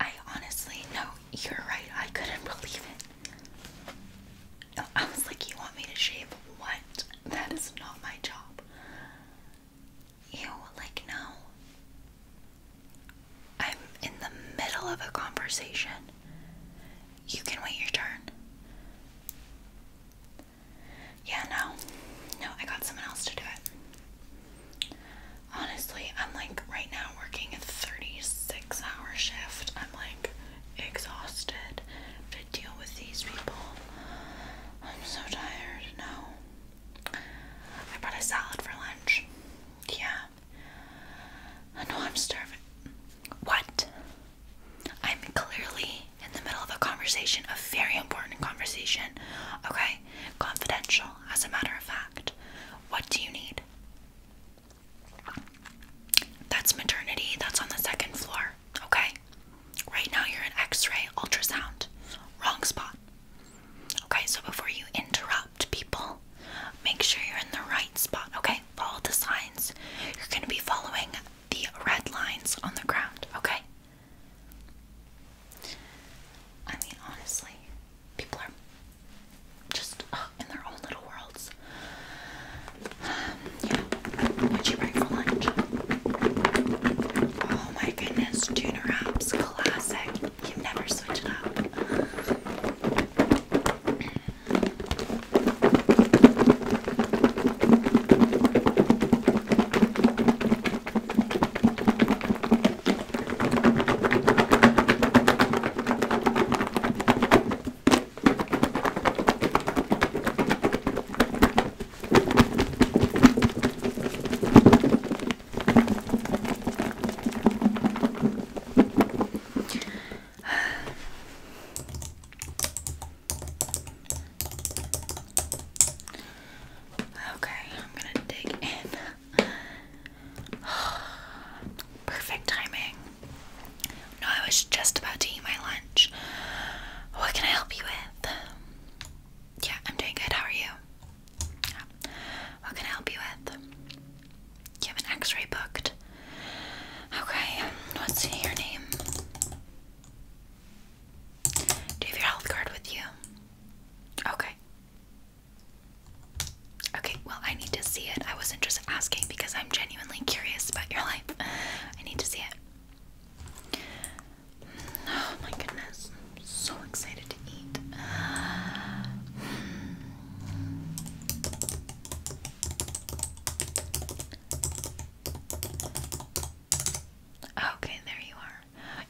I honestly know you're right. I couldn't believe it. I was like, you want me to shave? What? That is not my job. You like no. I'm in the middle of a conversation. You can wait your turn. Yeah, no. No, I got someone else to do it. Honestly, I'm like right now working a 36 hour shift. I'm like exhausted to deal with these people. I'm so tired now. I brought a salad for lunch. Yeah. I know I'm starving. What? I'm clearly in the middle of a conversation, a very important conversation. Okay? Confidential, as a matter of fact. What do you need? That's maternity. That's on the second floor. Okay? Right now you're an x ray, ultrasound. Wrong spot. Okay, so before you interrupt people, make sure you're in the right spot. Okay? Follow the signs. You're going to be following the red lines on the ground. Okay? I mean, honestly, people are just in their own little worlds. Um, What'd you bring for lunch? Oh my goodness, tuna wraps, classic. You never switch it up. Okay, I'm gonna dig in. Perfect timing. No, I was just about to eat my lunch. What can I help you with? Yeah, I'm doing good. How are you? What can I help you with? You have an x ray booked. Okay, what's your name? Do you have your health card with you? Okay. Okay, well, I need to see it. I wasn't just asking because I'm genuinely curious about your life. I need to see it. Oh my goodness. so excited to eat. Okay, there you are.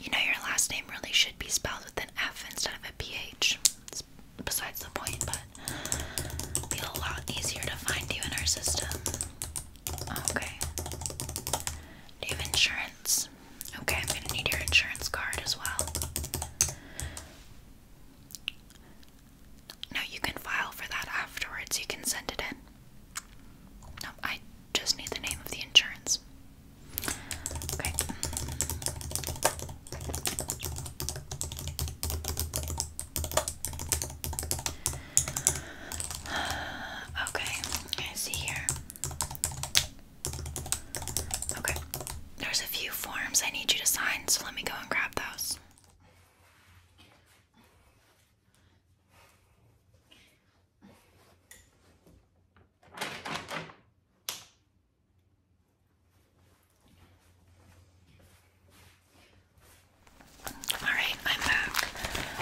You know, your last name really should be spelled with an F instead of a PH. It's besides the point, but it'll be a lot easier to find you in our system. Okay. Do you have insurance? Okay, I'm gonna need your insurance card as well. No, you can file for that afterwards. You can send it in. No, I just need the name of the insurance. Okay. Okay, I see here. Okay, there's a few forms I need you to sign, so let me go and grab those. Alright, I'm back.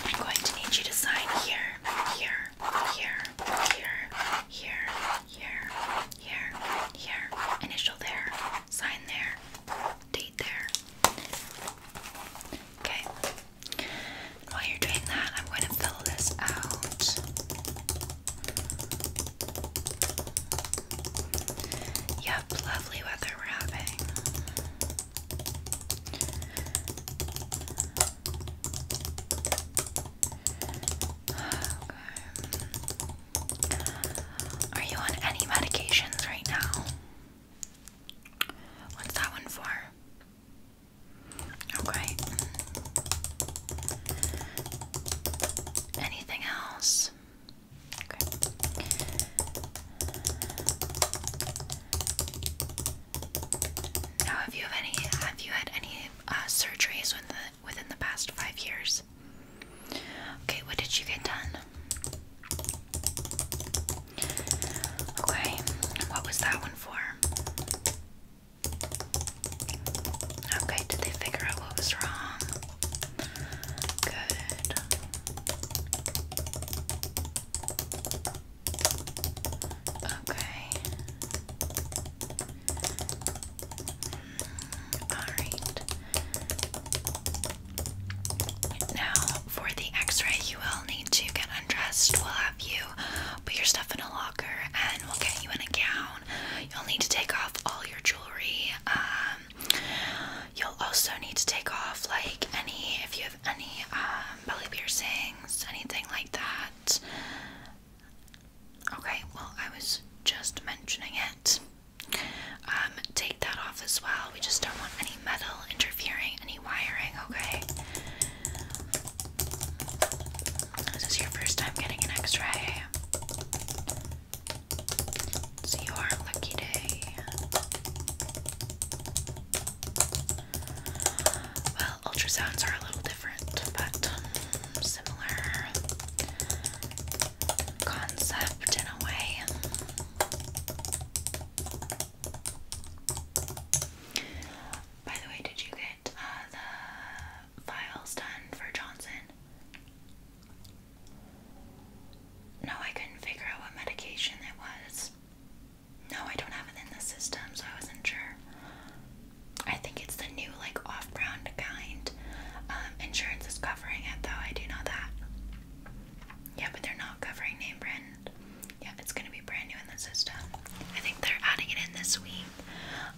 I'm going to need you to sign here, here, here, here, here, here, here, here. Initial there, sign there, date there. Okay. While you're doing that, I'm going to fill this out. Yep, lovely weather we're having. Are you on any medications right now? What's that one for? Okay. Anything else? Okay. Now, have you have any? Have you had any uh, surgeries within within the past five years? Okay. What did you get done? Okay. What was that one for? Okay, did they figure out what was wrong? Good. Okay. Alright. Now, for the x ray, you will need to get undressed. We'll have you put your stuff in a locker and we'll get you in a gown. You'll need to take off all your jewelry. Um, you'll also need to take off like any, if you have any um, belly piercings, anything like that. Okay, well, I was just mentioning it. Um, take that off as well. We just don't want any metal interfering, any wiring, okay? This is your first time getting an x ray. It's your lucky day. Well, ultrasounds are a little different, but um, similar concept in a way. By the way, did you get uh, the files done for Johnson? No, I couldn't figure out what medication it was. No, I don't have it in the system, so I wasn't sure. I think it's the new, like, off-brand kind. Um, insurance is covering it, though. I do know that. Yeah, but they're not covering name brand. Yeah, it's gonna be brand new in the system. I think they're adding it in this week.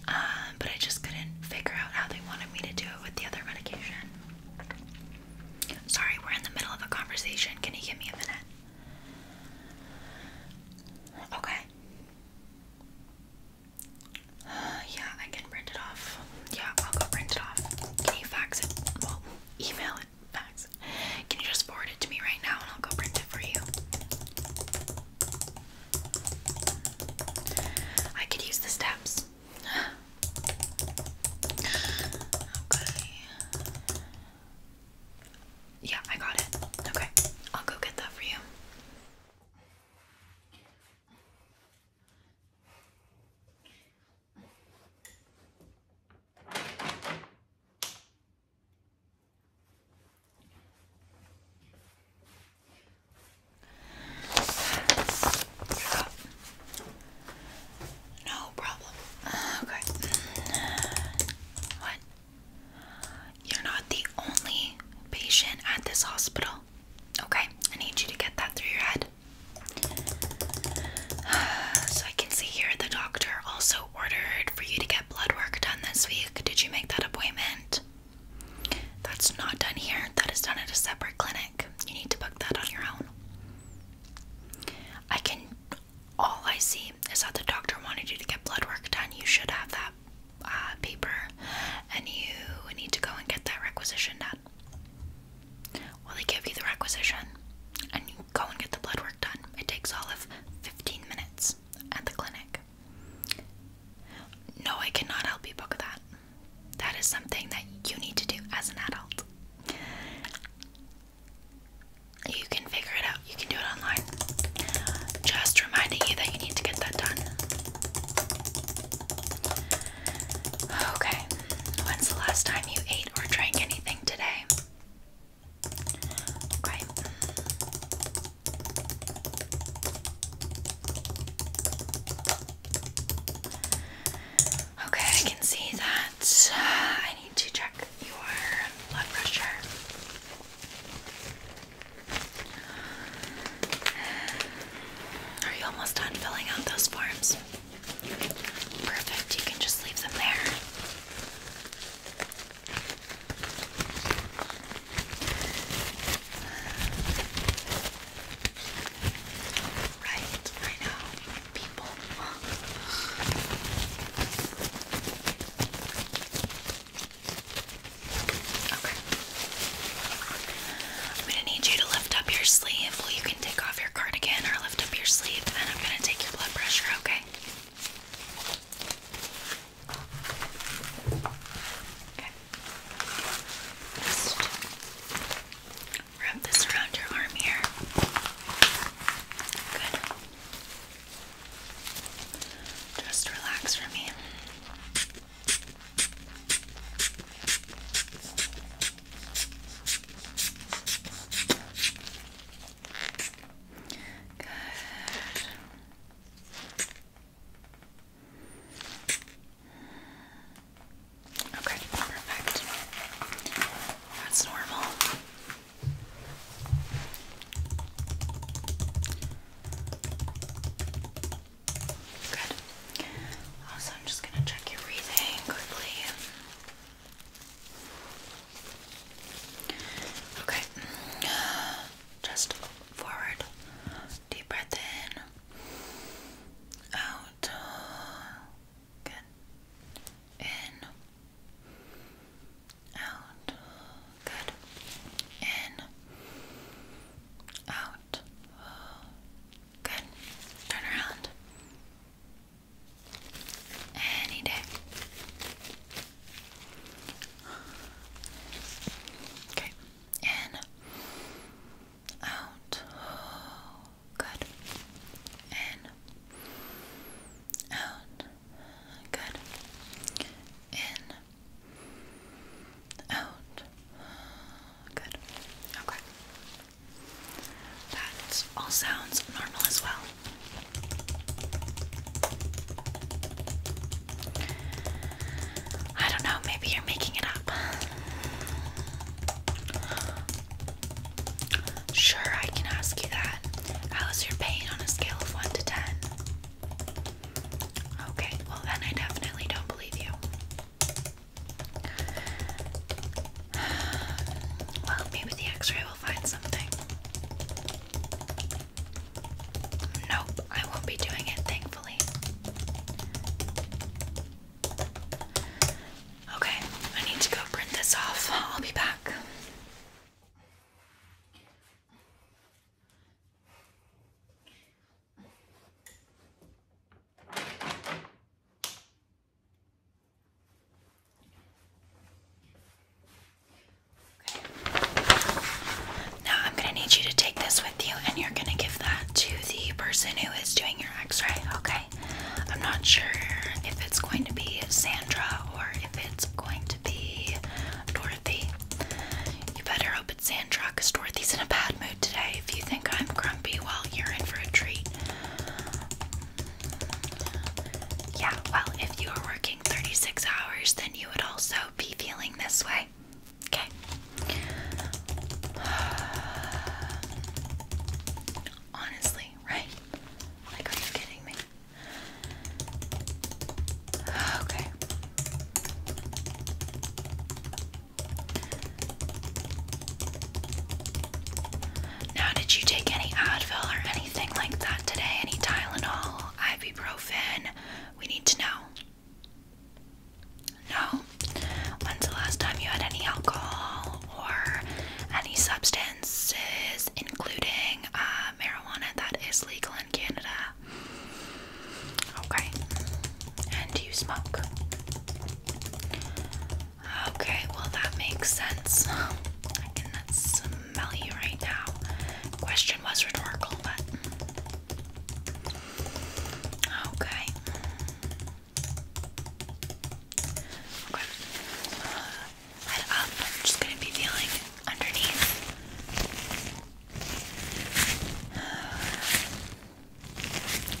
Um, but I just couldn't figure out how they wanted me to do it with the other medication. Sorry, we're in the middle of a conversation. Can you give me a minute? Okay. Uh, yeah, I can print it off. Yeah, I'll go print it off. Can you fax it? Well, email it, fax. Can you just forward it to me right now and I'll go print it for you? I could use the steps. okay. Yeah, I got it. Okay, I'll go get that for you. No problem. Uh, okay. What? You're not the only patient at this hospital. Okay, I need you to get that through your head. So I can see here the doctor also ordered for you to get blood work done this week. Did you make that appointment? That's not done here. That is done at a separate clinic. You need to book that on your own. I can. All I see is that the doctor wanted you to get blood work done. You should have that uh, paper, and you need to go and get that requisition done. Well, they give you the requisition, and you go and get the blood work done. It takes all of 15 minutes at the clinic. No, I cannot help you book that. That is something that you need to do as an adult. You can figure it out. You can do it online. Just reminding you that you need to get that done. Okay. When's the last time you ate or drank anything today? Okay. Okay, I can see that. I need to check your blood pressure. Are you almost done filling out those forms? Perfect, you can just leave them there. Right, I know. People. Okay. I'm gonna need you to lift up your sleeve. Well, you can take off your cardigan or lift up your sleeve, and I'm gonna take your blood pressure, okay? Okay. Just wrap this around your arm here. Good. Just relax for me. Good. Okay, perfect. That's normal. Good. Also, I'm just gonna check your breathing quickly. Okay. Just forward Deep breath in. Out. Good. In. Out. Good. In. Out. Good. Turn around. Any day. Okay in, out, good, in, out, good, in, out, good, okay. That all sounds normal as well. I don't know, maybe you're making it up. Sure, I can ask you that. How is your pain on a scale of 1 to 10? Okay, well, then I definitely don't believe you. Well, maybe the x ray will find something. Nope, I won't be doing it, thankfully. Okay, I need to go print this off. I'll be back. Okay. Now I'm gonna need you to take this with you and you're gonna give that to the person who is doing your x-ray, okay? I'm not sure if it's going to be Sandra or if it's going to be Dorothy. You better hope it's Sandra because Dorothy's in a bad mood today. If you think I'm grumpy, well, you're in for a treat. Yeah, well, if you were working 36 hours, then you would also be feeling this way. Okay. Honestly, right? Like, are you kidding me? Okay. Now, did you take any Advil or anything like that today? Any Tylenol, ibuprofen? We need to know. No? When's the last time you had any alcohol or any substances, including uh, marijuana that is legal in Canada? Okay. And do you smoke? Okay, well, that makes sense. I can smell you right now. Question was rhetorical, but Okay. Okay. head uh, up. Um, I'm just gonna be feeling underneath.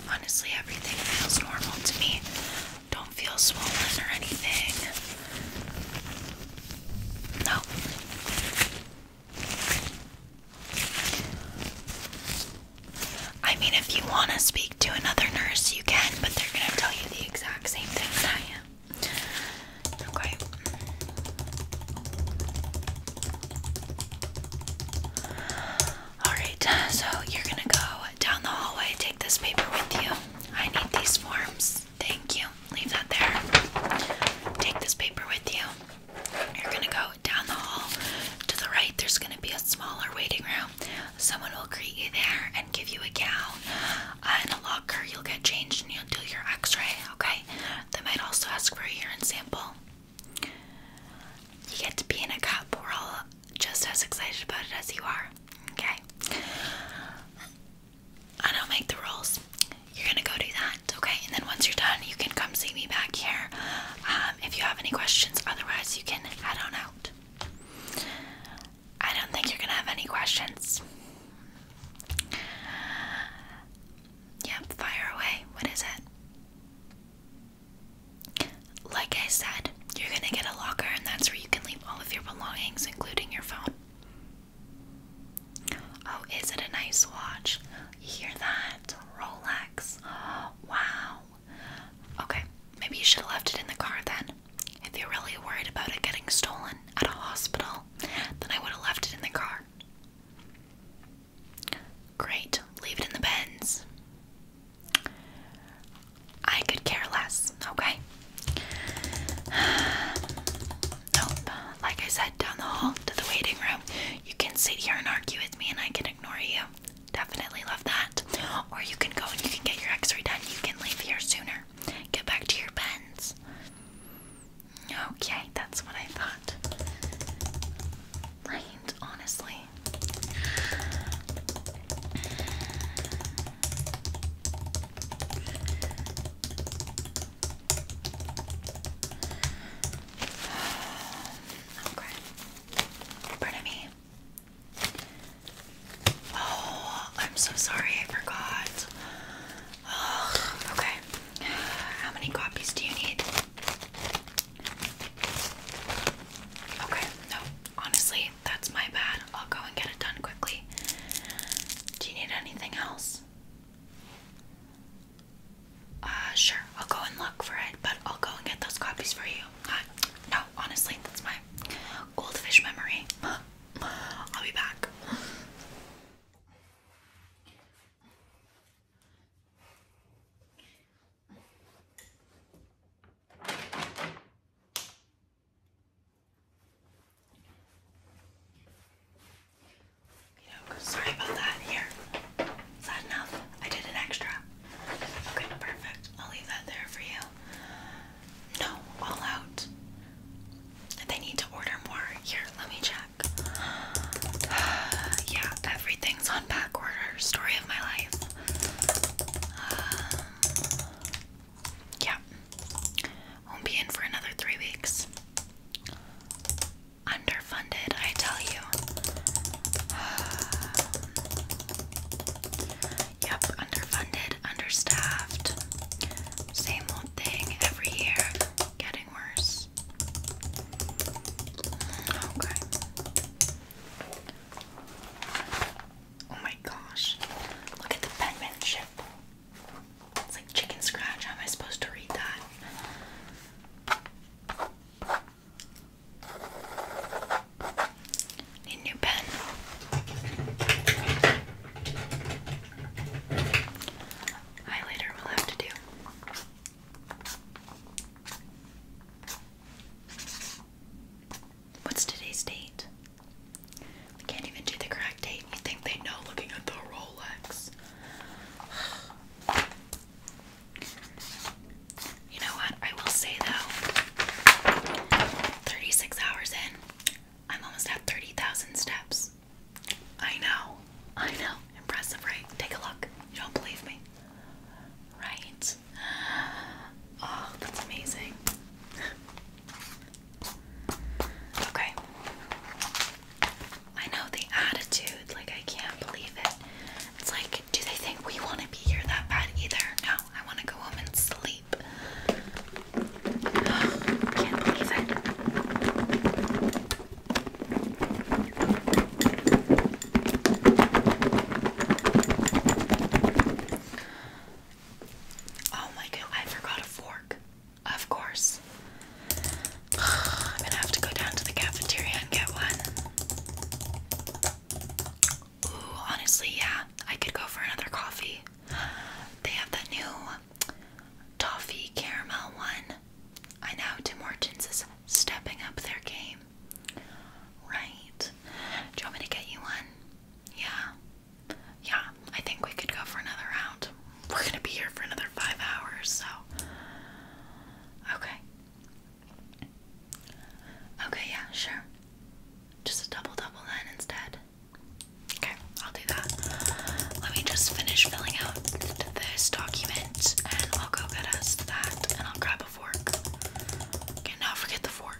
honestly, everything feels normal to me. Don't feel swollen or anything. No. I mean, if you want to speak to another nurse, you can, but they're going to tell you the exact same thing that I am. Okay. Alright, so you're going to go down the hallway, take this paper with you. I need these forms. Thank you. Leave that there. Take this paper with you. You're gonna go down the hall to the right. There's gonna be a smaller waiting room. Someone will greet you there and give you a gown and uh, a locker. You'll get changed and you'll do your X-ray. Okay. They might also ask for a urine sample. You get to be in a cup. We're all just as excited about it as you are. Okay. I don't make the rules. You're gonna go do that okay? And then once you're done, you can come see me back here um, if you have any questions. Otherwise, you can head on out. I don't think you're gonna have any questions. Yep, fire away. What is it? Like I said, you're gonna get a locker, and that's where you can leave all of your belongings, including your phone. Oh, is it a nice watch? You hear that? Rolex. Wow. Okay, maybe you should have left it in the car then. If you're really worried about it getting stolen at a hospital, then I would have left it in the car. Great, leave it in the bins. I could care less, okay? Nope. Like I said, down the hall to the waiting room. You can sit here and argue with me and I can ignore you. Definitely love that. Or you can go and you can get your x ray done. You can leave here sooner. Get back to your pens. Okay, that's what I thought. Right, honestly okay. Pardon me. Oh, I'm so sorry, I forgot. okay. How many copies do you need? Okay, no. Honestly, that's my bad. I'll go and get it done quickly. Do you need anything else? Uh, sure, I'll go and look for it, but I'll go and get those copies for you. Uh, no, honestly, that's my goldfish memory. I'll be back sorry about that. Here. Is that enough? I did an extra. Okay, perfect. I'll leave that there for you. No, all out. They need to order more. Here, let me check. yeah, everything's on back order. Story of my life. Um, yeah. Won't be in for another three weeks underfunded, I tell you. yep, underfunded, understaffed. Same old thing every year, getting worse. Mm, okay. Oh my gosh. Look at the penmanship. It's like chicken scratch. How am I supposed to read that? Need new pen. Highlighter will have to do. What's today's date? We can't even do the correct date. You think they know looking at the Rolex? You know what? I will say though, 36 hours in, I'm almost at 30,000 steps. I know. I know. Impressive, right? Take a look. You don't believe me. Right? Oh, that's amazing. Okay. I know the attitude, like I can't believe it. It's like, do they think we want to be here that bad either? No, I want to go home and sleep. can't believe it. Oh my god, I forgot a fork. Of course. I'm gonna have to go down to the cafeteria and get one. honestly, yeah, I could go for another coffee. They have that new toffee caramel one. I know Tim Hortons is stepping up their game. Right. Do you want me to get you one? Yeah. Yeah, I think we could go for another round. We're gonna be here for another five hours, so. Okay. Okay, yeah, sure. Just a double double then instead. Okay, I'll do that. Let me just finish filling out this document and I'll go get us that and I'll grab a fork. Okay, forget the fork.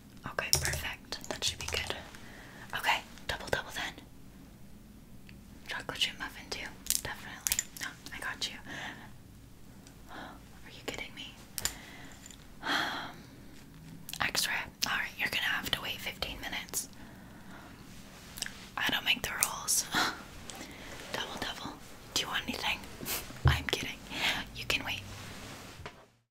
Okay, perfect. That should be good. Okay, double double then. Chocolate chip muffin too. Definitely. No, I got you. Are you kidding me? Um, extra. Alright, you're gonna have to wait 15 minutes. I don't make the rules. double double. Do you want anything? I'm kidding. You can wait.